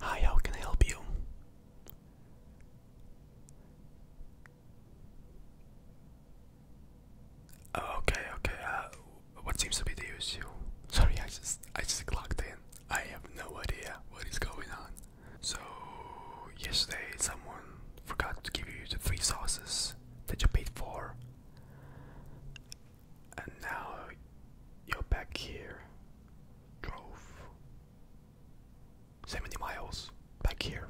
Hi, how can I help you? Oh, okay, okay. Uh, what seems to be the issue? Sorry, I just I just clocked in. I have no idea what is going on. So yesterday, someone forgot to give you the three sauces that you paid for, and now you're back here. Drove 70 miles back here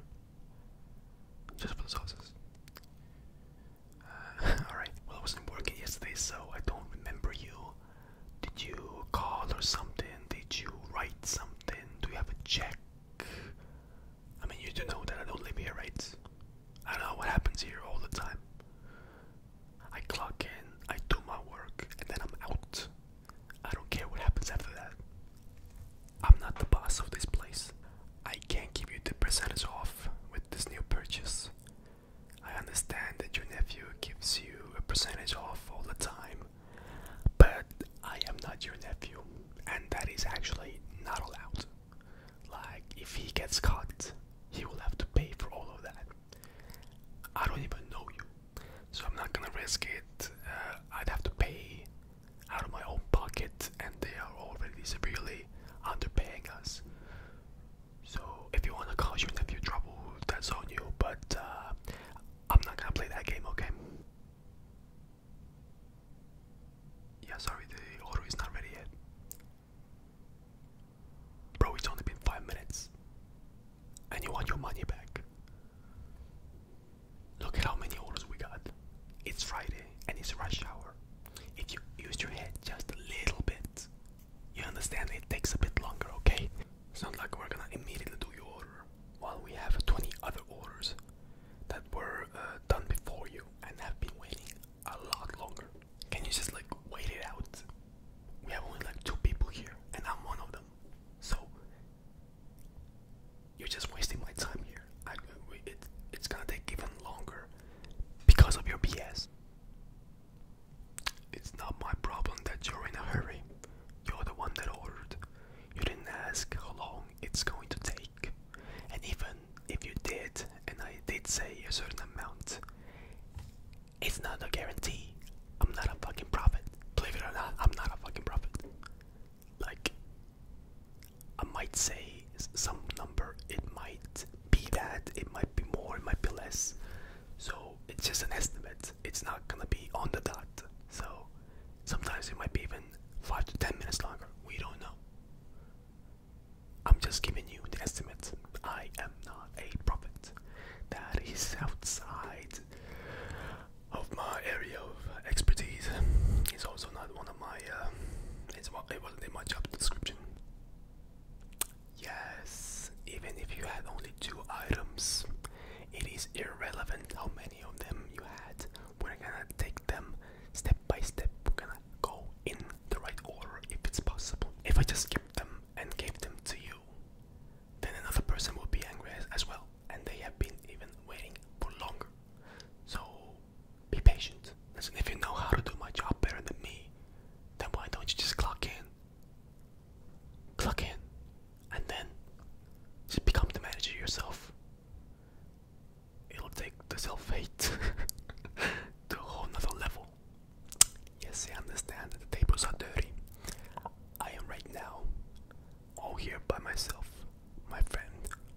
just for the sauces. Uh, alright, well, I wasn't working yesterday, so I don't remember you. Did you call or something? Did you write something? Do you have a check? I mean, you do know that I don't live here, right? I don't know what happens here all the time. I clock in, I do my work, and then I'm out. I don't care what happens after that. I'm not the boss of this place. I can't give you the percentage off with this new purchase. I understand that your nephew gives you a percentage off all the time, but I am not your nephew, and that is actually not allowed. Like, if he gets caught, he will have to pay for all of that. I don't even know you, so I'm not gonna risk it. Uh, I'd have to pay out of my own pocket, and they are already severely underpaying us. So, if you wanna cause your nephew trouble, that's on you, but uh, I'm not gonna play that game, okay? Yeah, sorry, the order is not ready yet. Bro, it's only been five minutes. And you want your money back. Look at how many orders we got. It's Friday and it's rush hour. If you use your head just a little bit, you understand it takes a bit longer, okay? It's not like we're gonna immediately do your order while we have 20 other orders that were uh, done before you and have been waiting a lot longer. Can you just like wait it out? We have only like two people here, and I'm one of them. So you're just wasting my time here. it's gonna take even longer because of your BS. It's not my problem that you're in a hurry. You're the one that ordered. You didn't ask how long it's going to take. And even if you did, and I did say a certain amount, it's not a guarantee. I'm not a fucking prophet. Believe it or not, I'm not a fucking prophet. Like, I might say some number, it might be that, it might be more, it might be less. So, it's just an estimate it's not gonna be on the dot. So sometimes it might be even five to ten minutes longer. We don't know. I'm just giving you an estimate. I am not a prophet. That is outside of my area of expertise. It's also not one of my. Uh, it's it wasn't in my job description. Yes, even if you had only two items, it is irrelevant how many of them you had. We're gonna take them step by step. We're gonna go in the right order if it's possible. If I just skip them and gave them to you, then another person will be angry as, as well, and they have been even waiting for longer. So be patient. Listen, if you know how to do my job better than me, then why don't you just clock in? Clock in, and then just become the manager yourself. It'll take the self hate to a whole other level. Yes, I understand that the tables are dirty. I am right now all here by myself. My friend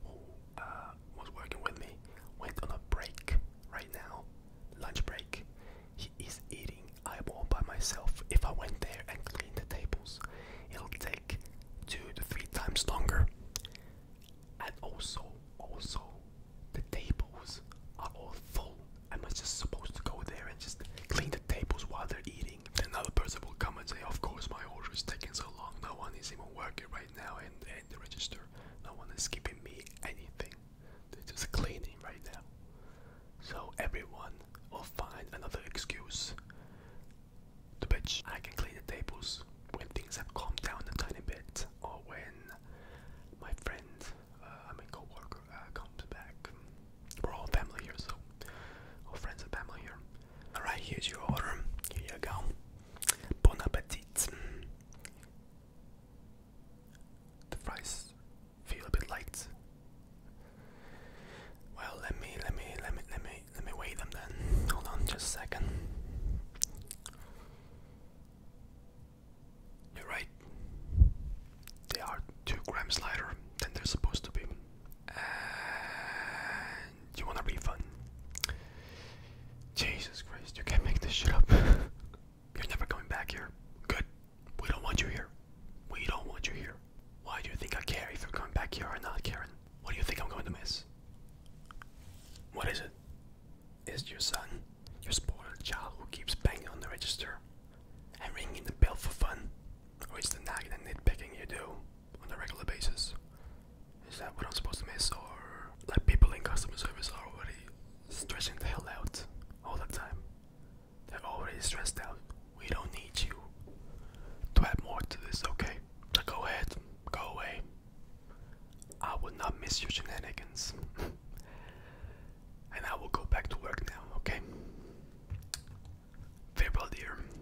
who uh, was working with me went on a break right now, lunch break, he is eating eyeball by myself. If I went there and cleaned the tables, it'll take two to three times longer. And also, also, the tables are all full. i Am just supposed to go there and just clean the tables while they're eating? Another person will come and say, "Of course, my order is taking so long. No one is even working right now, and, and the register. No one is giving me anything." They're just cleaning right now. So everyone will find another excuse to bitch. I can clean the tables when things have calmed down a tiny bit or when my friend, uh, I mean co uh, comes back. We're all family here, so all friends and family here. Alright, here's your order. Here you go. Bon appetit. The fries feel a bit light. Well, let me, let me, let me, let me, let me weigh them then. Hold on, just a second. You're right. They are two grams lighter than they're supposed to be you want a refund. Jesus Christ, you can't make this shit up. You're never coming back here. Good. We don't want you here. We don't want you here. Why do you think I care if you're coming back here or not, Karen? What do you think I'm going to miss? What is it? Is your son, your spoiled child who keeps banging on the register and ringing the bell for fun? Or is the nagging and nitpicking you do on a regular basis? Is that what I'm supposed to miss, or like people in customer service are already stressing the hell out all the time? They're already stressed out. We don't need you to add more to this, okay? go ahead, go away. I will not miss your shenanigans. and I will go back to work now, okay? Farewell, dear.